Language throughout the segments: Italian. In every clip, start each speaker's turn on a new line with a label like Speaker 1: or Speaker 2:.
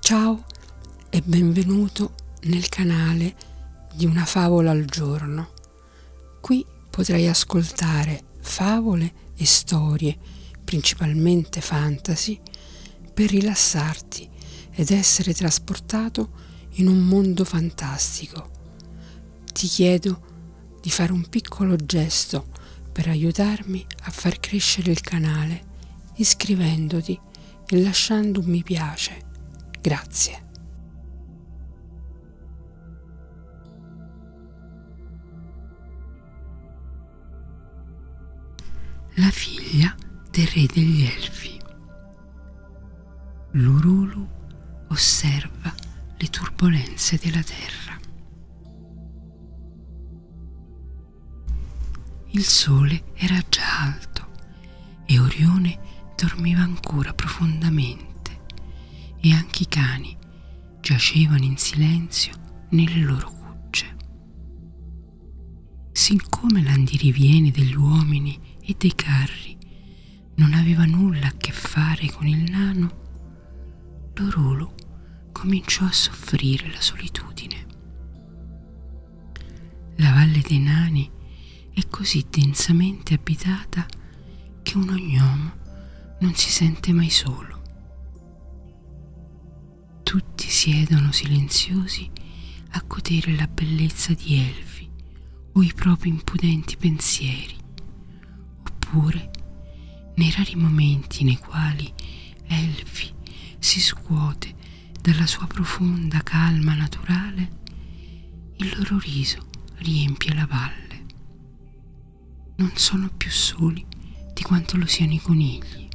Speaker 1: Ciao e benvenuto nel canale di Una favola al giorno. Qui potrai ascoltare favole e storie, principalmente fantasy, per rilassarti ed essere trasportato in un mondo fantastico. Ti chiedo di fare un piccolo gesto per aiutarmi a far crescere il canale iscrivendoti e lasciando un mi piace. Grazie. La figlia del re degli elfi. L'Urulu osserva le turbulenze della terra. Il sole era già alto e Orione dormiva ancora profondamente e anche i cani giacevano in silenzio nelle loro cucce. Siccome l'andiriviene degli uomini e dei carri non aveva nulla a che fare con il nano, Lorolo cominciò a soffrire la solitudine. La valle dei nani è così densamente abitata che un ognomo non si sente mai solo. Tutti siedono silenziosi a godere la bellezza di elfi o i propri impudenti pensieri, oppure nei rari momenti nei quali elfi si scuote dalla sua profonda calma naturale, il loro riso riempie la valle. Non sono più soli di quanto lo siano i conigli.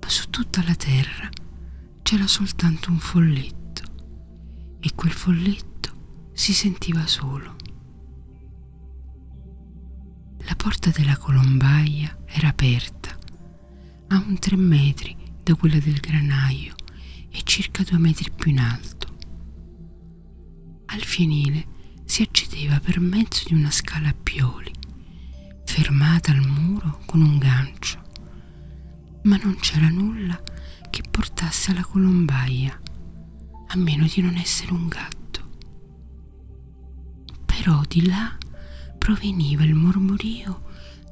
Speaker 1: Ma su tutta la terra c'era soltanto un folletto e quel folletto si sentiva solo. La porta della colombaia era aperta a un tre metri da quella del granaio e circa due metri più in alto. Al fienile si accedeva per mezzo di una scala a pioli, fermata al muro con un gancio, ma non c'era nulla che portasse alla colombaia, a meno di non essere un gatto. Però di là proveniva il mormorio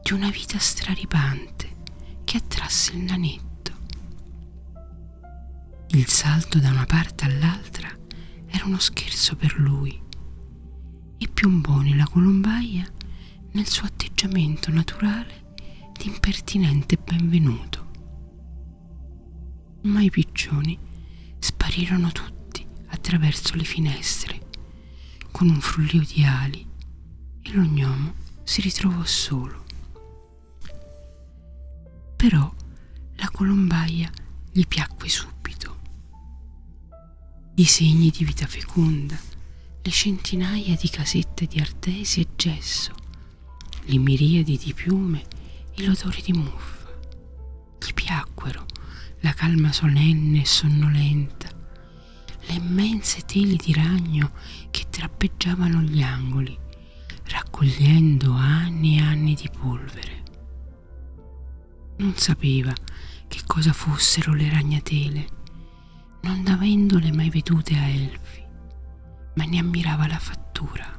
Speaker 1: di una vita straripante che attrasse il nanetto. Il salto da una parte all'altra era uno scherzo per lui e piombò nella colombaia nel suo atteggiamento naturale di impertinente benvenuto ma i piccioni sparirono tutti attraverso le finestre con un frullio di ali e lo gnomo si ritrovò solo. Però la colombaia gli piacque subito. I segni di vita feconda, le centinaia di casette di artesi e gesso, le miriadi di piume e l'odore di muffa ti piacquero la calma solenne e sonnolenta, le immense teli di ragno che trappeggiavano gli angoli, raccogliendo anni e anni di polvere. Non sapeva che cosa fossero le ragnatele, non avendole mai vedute a Elfi, ma ne ammirava la fattura.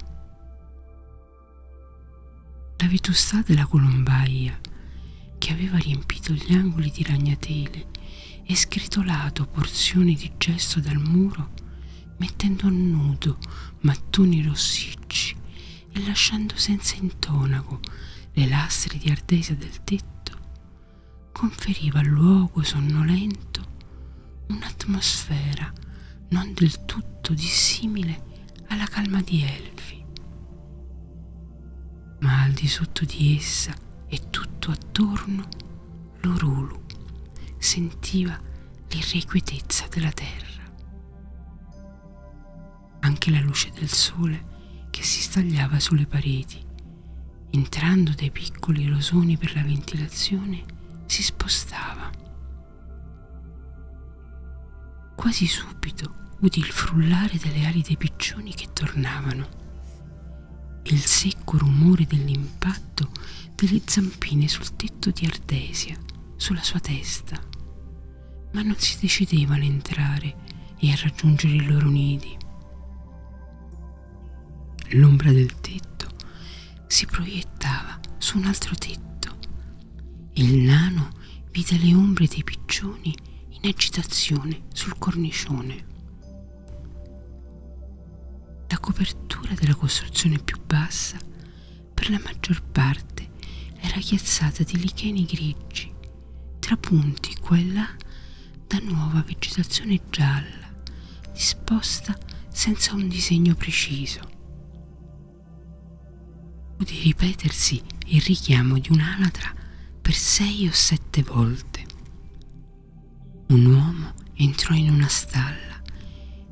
Speaker 1: La vetustà della colombaia, che aveva riempito gli angoli di ragnatele e scritolato porzioni di gesso dal muro, mettendo a nudo mattoni rossicci e lasciando senza intonaco le lastre di ardesia del tetto, conferiva al luogo sonnolento un'atmosfera non del tutto dissimile alla calma di Elfi. Ma al di sotto di essa e tutto attorno, l'Orulu sentiva l'irrequietezza della terra. Anche la luce del sole che si stagliava sulle pareti, entrando dai piccoli rosoni per la ventilazione, si spostava Quasi subito udì il frullare delle ali dei piccioni che tornavano e il secco rumore dell'impatto delle zampine sul tetto di Ardesia, sulla sua testa, ma non si decidevano a entrare e a raggiungere i loro nidi. L'ombra del tetto si proiettava su un altro tetto il nano vide le ombre dei piccioni in agitazione sul cornicione. La copertura della costruzione più bassa per la maggior parte era chiazzata di licheni grigi, trapunti qua e là da nuova vegetazione gialla, disposta senza un disegno preciso di ripetersi il richiamo di un'anatra per sei o sette volte. Un uomo entrò in una stalla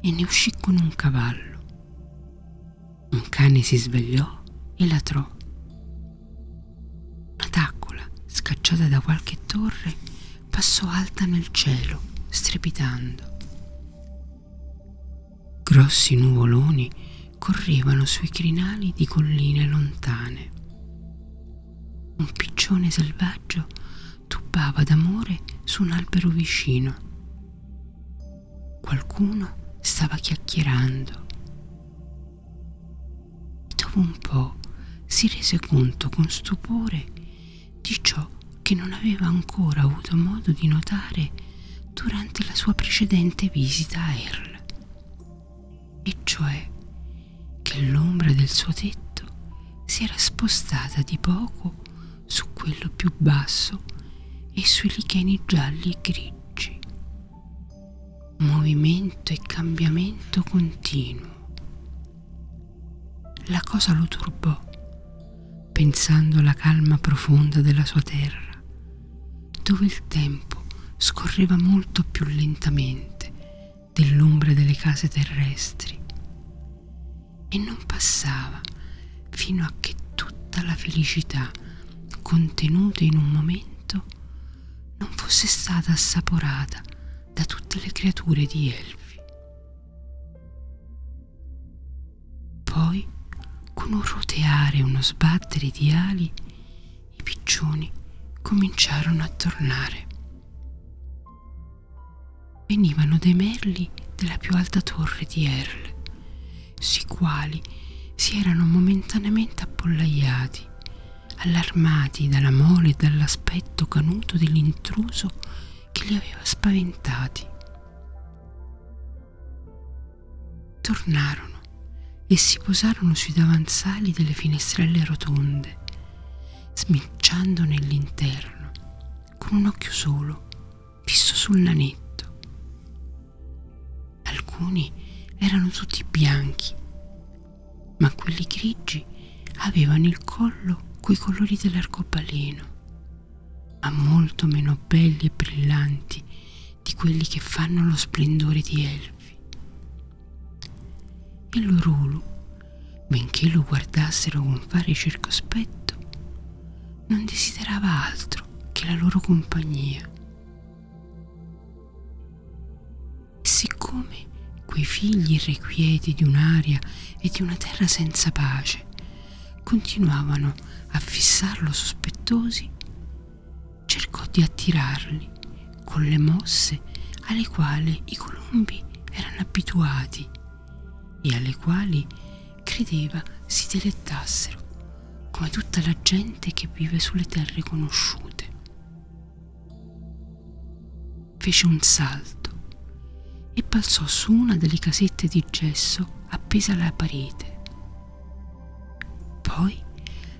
Speaker 1: e ne uscì con un cavallo. Un cane si svegliò e latrò. Una taccola, scacciata da qualche torre, passò alta nel cielo, strepitando. Grossi nuvoloni correvano sui crinali di colline lontane. Un piccione selvaggio tubbava d'amore su un albero vicino. Qualcuno stava chiacchierando. Dopo un po' si rese conto con stupore di ciò che non aveva ancora avuto modo di notare durante la sua precedente visita a Earl, e cioè che l'ombra del suo tetto si era spostata di poco su quello più basso e sui licheni gialli e grigi. Movimento e cambiamento continuo. La cosa lo turbò, pensando alla calma profonda della sua terra, dove il tempo scorreva molto più lentamente dell'ombra delle case terrestri e non passava fino a che tutta la felicità contenuta in un momento non fosse stata assaporata da tutte le creature di Elfi. Poi, con un roteare e uno sbattere di ali, i piccioni cominciarono a tornare. Venivano dei merli della più alta torre di Erle, sui quali si erano momentaneamente appollaiati, allarmati dalla mole e dall'aspetto canuto dell'intruso che li aveva spaventati. Tornarono e si posarono sui davanzali delle finestrelle rotonde, smicciando nell'interno, con un occhio solo, fisso sul nanetto. Alcuni erano tutti bianchi, ma quelli grigi avevano il collo coi colori dell'arcobaleno ma molto meno belli e brillanti di quelli che fanno lo splendore di Elfi. E l'Orulu, benché lo guardassero con fare circospetto, non desiderava altro che la loro compagnia. E siccome quei figli irrequieti di un'aria e di una terra senza pace continuavano a fissarlo sospettosi, cercò di attirarli con le mosse alle quali i colombi erano abituati e alle quali credeva si dilettassero come tutta la gente che vive sulle terre conosciute. Fece un salto e balzò su una delle casette di gesso appesa alla parete. Poi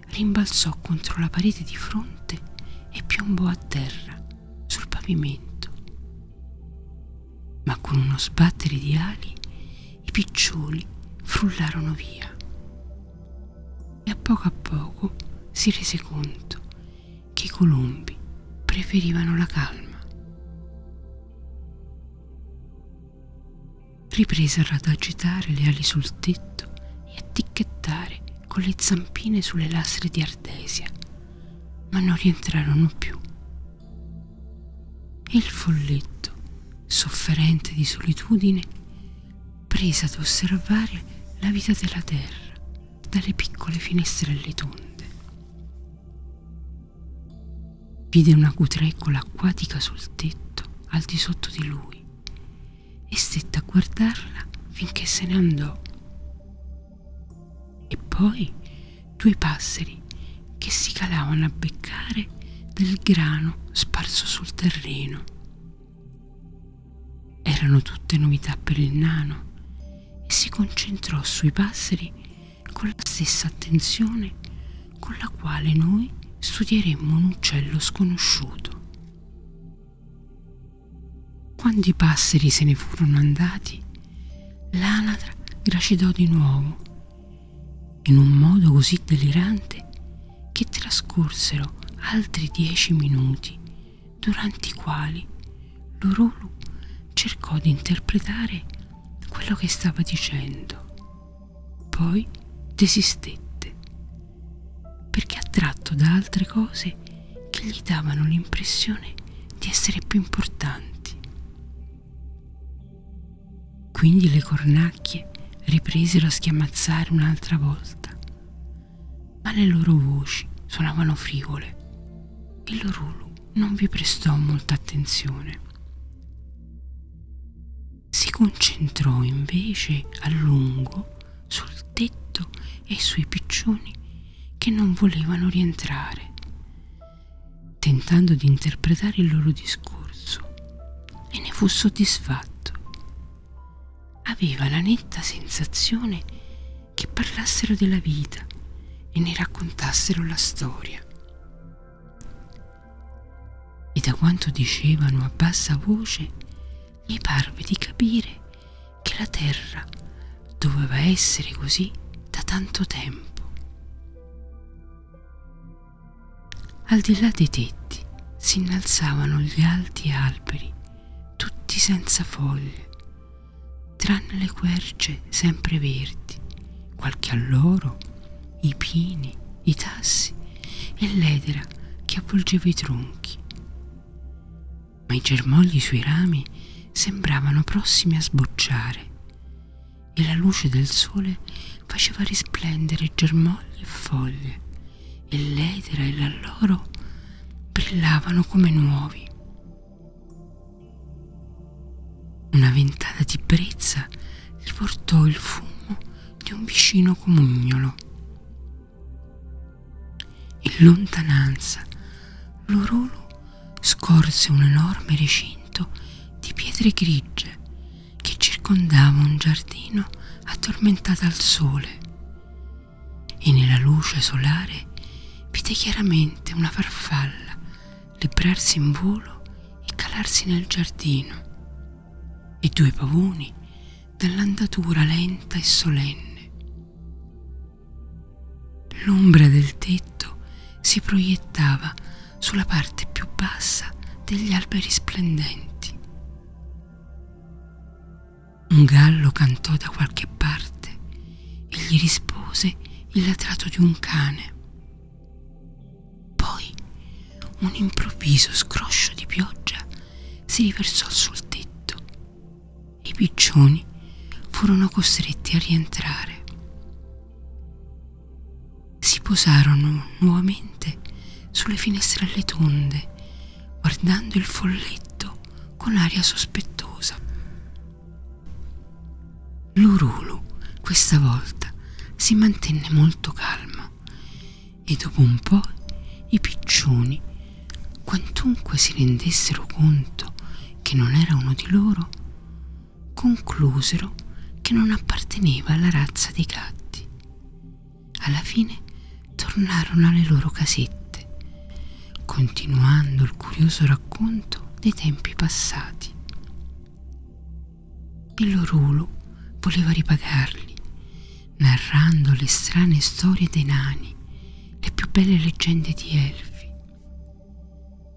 Speaker 1: rimbalzò contro la parete di fronte e piombò a terra sul pavimento. Ma con uno sbattere di ali i piccioli frullarono via. E a poco a poco si rese conto che i colombi preferivano la calma. Ripresero ad agitare le ali sul tetto e a ticchettare con le zampine sulle lastre di Ardesia, ma non rientrarono più. E il folletto, sofferente di solitudine, prese ad osservare la vita della terra dalle piccole finestrelle tonde. Vide una cutrecola acquatica sul tetto, al di sotto di lui, e stette a guardarla finché se ne andò. E poi due passeri che si calavano a beccare del grano sparso sul terreno. Erano tutte novità per il nano e si concentrò sui passeri con la stessa attenzione con la quale noi studieremmo un uccello sconosciuto. Quando i passeri se ne furono andati, l'anatra gracidò di nuovo, in un modo così delirante che trascorsero altri dieci minuti, durante i quali l'Orolu cercò di interpretare quello che stava dicendo. Poi desistette, perché attratto da altre cose che gli davano l'impressione di essere più importanti. Quindi le cornacchie ripresero a schiamazzare un'altra volta, ma le loro voci suonavano frivole e l'orulo non vi prestò molta attenzione. Si concentrò invece a lungo sul tetto e sui piccioni che non volevano rientrare, tentando di interpretare il loro discorso e ne fu soddisfatto. Aveva la netta sensazione che parlassero della vita e ne raccontassero la storia. E da quanto dicevano a bassa voce mi parve di capire che la terra doveva essere così da tanto tempo. Al di là dei tetti si innalzavano gli alti alberi, tutti senza foglie, tranne le querce sempre verdi, qualche alloro i pini, i tassi e l'edera che avvolgeva i tronchi. Ma i germogli sui rami sembravano prossimi a sbocciare e la luce del sole faceva risplendere germogli e foglie e l'edera e l'alloro brillavano come nuovi. Una ventata di brezza gli portò il fumo di un vicino comugnolo. In lontananza l'orolo scorse un enorme recinto di pietre grigie che circondava un giardino attormentato al sole e nella luce solare vide chiaramente una farfalla librarsi in volo e calarsi nel giardino. I due pavoni dall'andatura lenta e solenne. L'ombra del tetto si proiettava sulla parte più bassa degli alberi splendenti. Un gallo cantò da qualche parte e gli rispose il latrato di un cane. Poi un improvviso scroscio di pioggia si riversò sul tetto e i piccioni furono costretti a rientrare. Si posarono nuovamente sulle finestrelle tonde, guardando il folletto con aria sospettosa. L'Urulu questa volta si mantenne molto calmo e dopo un po' i piccioni, quantunque si rendessero conto che non era uno di loro, conclusero che non apparteneva alla razza dei gatti. Alla fine tornarono alle loro casette, continuando il curioso racconto dei tempi passati. Il Lorulo voleva ripagarli, narrando le strane storie dei nani, le più belle leggende di elfi.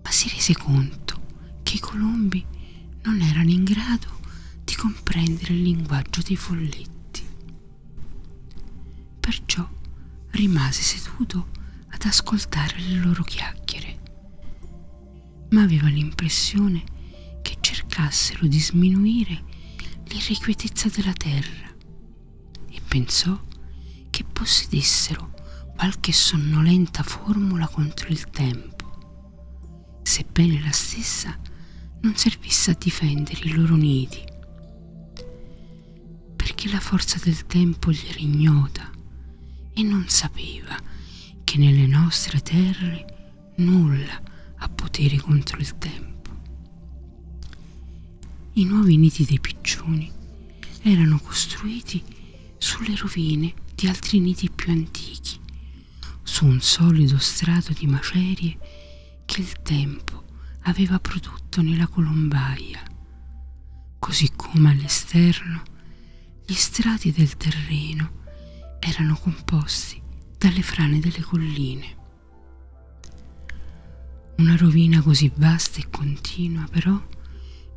Speaker 1: Ma si rese conto che i colombi non erano in grado di comprendere il linguaggio dei folletti. Perciò rimase seduto ad ascoltare le loro chiacchiere ma aveva l'impressione che cercassero di sminuire l'irrequietezza della terra e pensò che possedessero qualche sonnolenta formula contro il tempo, sebbene la stessa non servisse a difendere i loro nidi, perché la forza del tempo gli era ignota e non sapeva che nelle nostre terre nulla ha potere contro il tempo. I nuovi nidi dei piccioni erano costruiti sulle rovine di altri nidi più antichi, su un solido strato di macerie che il tempo aveva prodotto nella colombaia, così come all'esterno gli strati del terreno erano composti dalle frane delle colline. Una rovina così vasta e continua però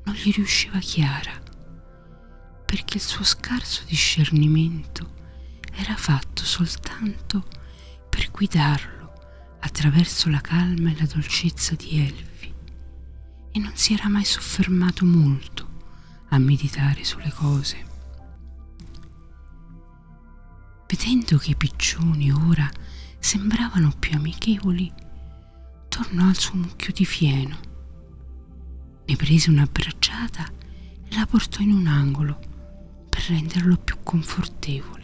Speaker 1: non gli riusciva chiara, perché il suo scarso discernimento era fatto soltanto per guidarlo attraverso la calma e la dolcezza di Elvi e non si era mai soffermato molto a meditare sulle cose. Vedendo che i piccioni ora sembravano più amichevoli, tornò al suo mucchio di fieno. Ne prese una bracciata e la portò in un angolo per renderlo più confortevole.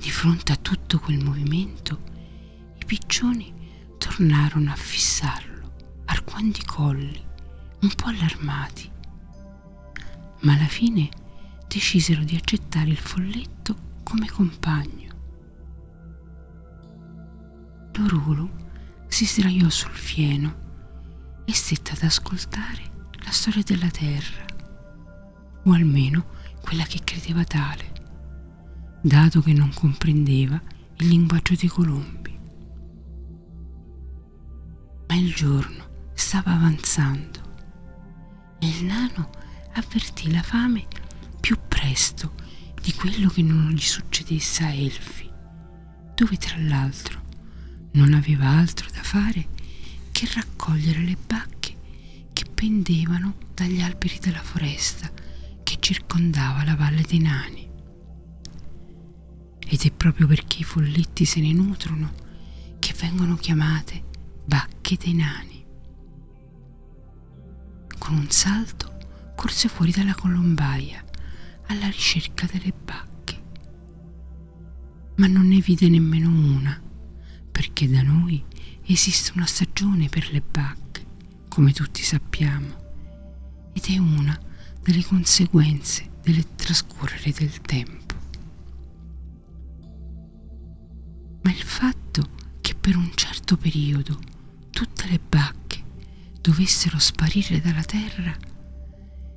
Speaker 1: Di fronte a tutto quel movimento, i piccioni tornarono a fissarlo, arquando i colli, un po' allarmati. Ma alla fine decisero di accettare il folletto come compagno. L'orulo si sdraiò sul fieno e stette ad ascoltare la storia della terra, o almeno quella che credeva tale dato che non comprendeva il linguaggio dei colombi. Ma il giorno stava avanzando e il nano avvertì la fame più presto di quello che non gli succedesse a Elfi, dove tra l'altro non aveva altro da fare che raccogliere le bacche che pendevano dagli alberi della foresta che circondava la valle dei nani. Ed è proprio perché i folletti se ne nutrono che vengono chiamate bacche dei nani. Con un salto corse fuori dalla colombaia alla ricerca delle bacche. Ma non ne vide nemmeno una, perché da noi esiste una stagione per le bacche come tutti sappiamo, ed è una delle conseguenze del trascorrere del tempo. Ma il fatto che per un certo periodo tutte le bacche dovessero sparire dalla terra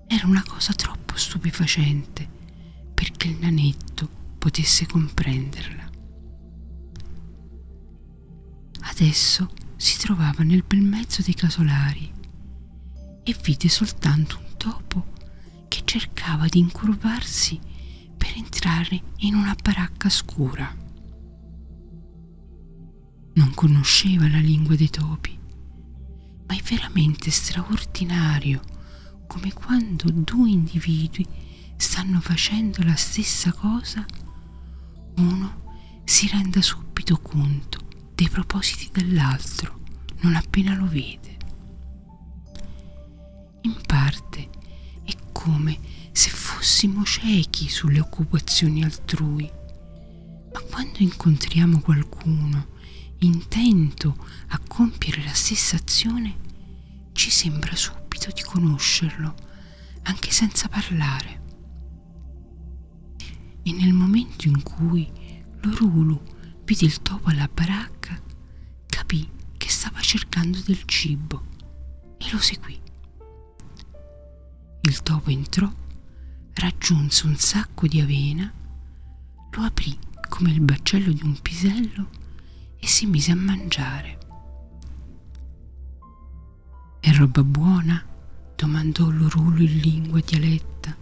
Speaker 1: era una cosa troppo stupefacente perché il nanetto potesse comprenderla. Adesso si trovava nel bel mezzo dei casolari e vide soltanto un topo che cercava di incurvarsi per entrare in una baracca scura. Non conosceva la lingua dei topi, ma è veramente straordinario come quando due individui stanno facendo la stessa cosa, uno si renda subito conto dei propositi dell'altro non appena lo vede. In parte è come se fossimo ciechi sulle occupazioni altrui, ma quando incontriamo qualcuno intento a compiere la stessa azione, ci sembra subito di conoscerlo, anche senza parlare. E nel momento in cui l'Orulu vide il topo alla baracca, capì che stava cercando del cibo e lo seguì. Il topo entrò, raggiunse un sacco di avena, lo aprì come il baccello di un pisello e si mise a mangiare. È roba buona? domandò l'urulo in lingua dialetta.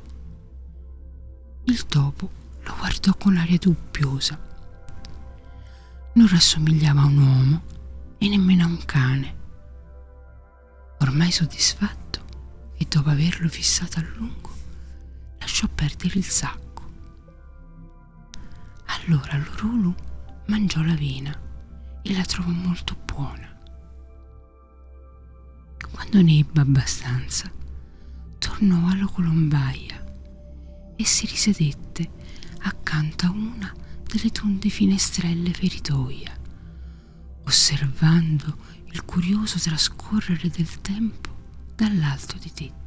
Speaker 1: Il topo lo guardò con aria dubbiosa. Non rassomigliava a un uomo e nemmeno a un cane. Ormai soddisfatto e dopo averlo fissato a lungo, lasciò perdere il sacco. Allora l'urulo mangiò la vena e la trovo molto buona. Quando ne ebbe abbastanza, tornò alla colombaia e si risedette accanto a una delle tonde finestrelle feritoia, osservando il curioso trascorrere del tempo dall'alto dei tetti.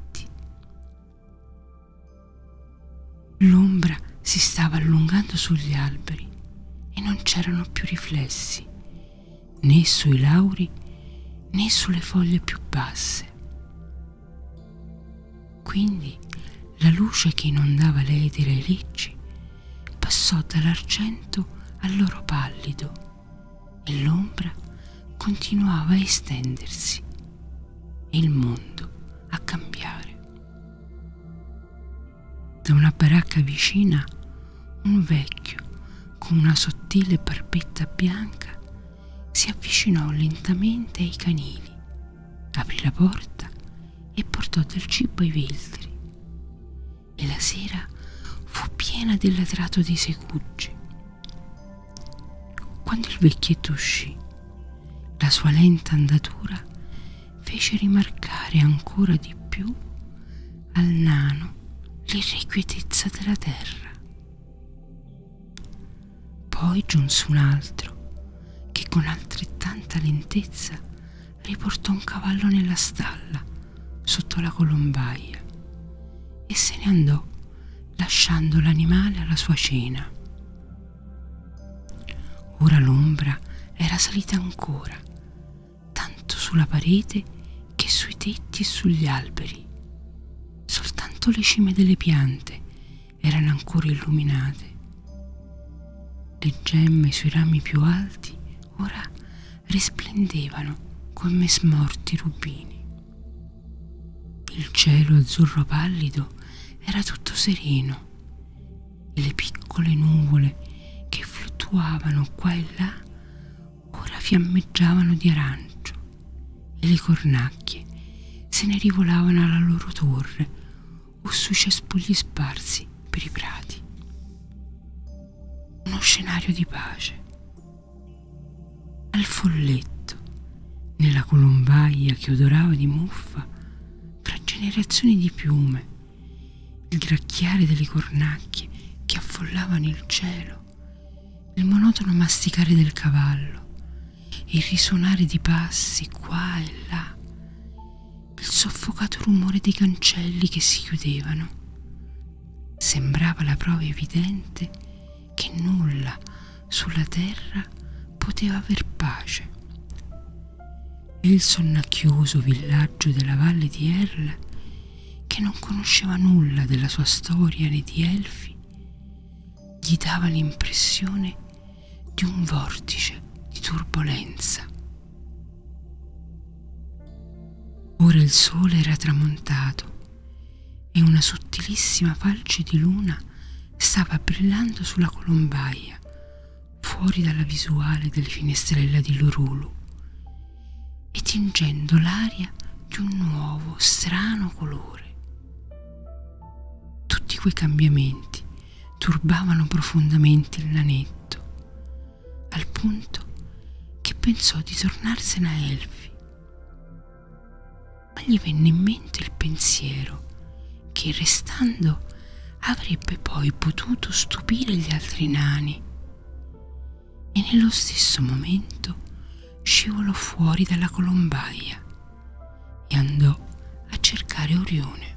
Speaker 1: L'ombra si stava allungando sugli alberi e non c'erano più riflessi, né sui lauri né sulle foglie più basse. Quindi la luce che inondava l'edere e ricci passò dall'argento all'oro pallido e l'ombra continuava a estendersi e il mondo a cambiare. Da una baracca vicina un vecchio con una sottile barbetta bianca si avvicinò lentamente ai canili, aprì la porta e portò del cibo ai veltri. E la sera fu piena dell'atrato dei segugi. Quando il vecchietto uscì, la sua lenta andatura fece rimarcare ancora di più al nano l'irrequietezza della terra. Poi giunse un altro che con altrettanta lentezza riportò un cavallo nella stalla sotto la colombaia e se ne andò lasciando l'animale alla sua cena. Ora l'ombra era salita ancora, tanto sulla parete che sui tetti e sugli alberi. Soltanto le cime delle piante erano ancora illuminate. Le gemme sui rami più alti ora risplendevano come smorti rubini. Il cielo azzurro pallido era tutto sereno e le piccole nuvole che fluttuavano qua e là ora fiammeggiavano di arancio e le cornacchie se ne rivolavano alla loro torre o sui cespugli sparsi per i prati. Uno scenario di pace. Al folletto, nella colombaia che odorava di muffa, tra generazioni di piume, il gracchiare delle cornacchie che affollavano il cielo, il monotono masticare del cavallo, il risuonare di passi qua e là, il soffocato rumore dei cancelli che si chiudevano. Sembrava la prova evidente che nulla sulla terra poteva aver pace e il sonnacchioso villaggio della valle di Erla, che non conosceva nulla della sua storia né di elfi, gli dava l'impressione di un vortice di turbolenza. Ora il sole era tramontato e una sottilissima falce di luna stava brillando sulla colombaia fuori dalla visuale delle finestrella di Lurulu e tingendo l'aria di un nuovo, strano colore. Tutti quei cambiamenti turbavano profondamente il nanetto, al punto che pensò di tornarsene a Elfi. Ma gli venne in mente il pensiero che restando avrebbe poi potuto stupire gli altri nani e nello stesso momento scivolò fuori dalla colombaia e andò a cercare Orione.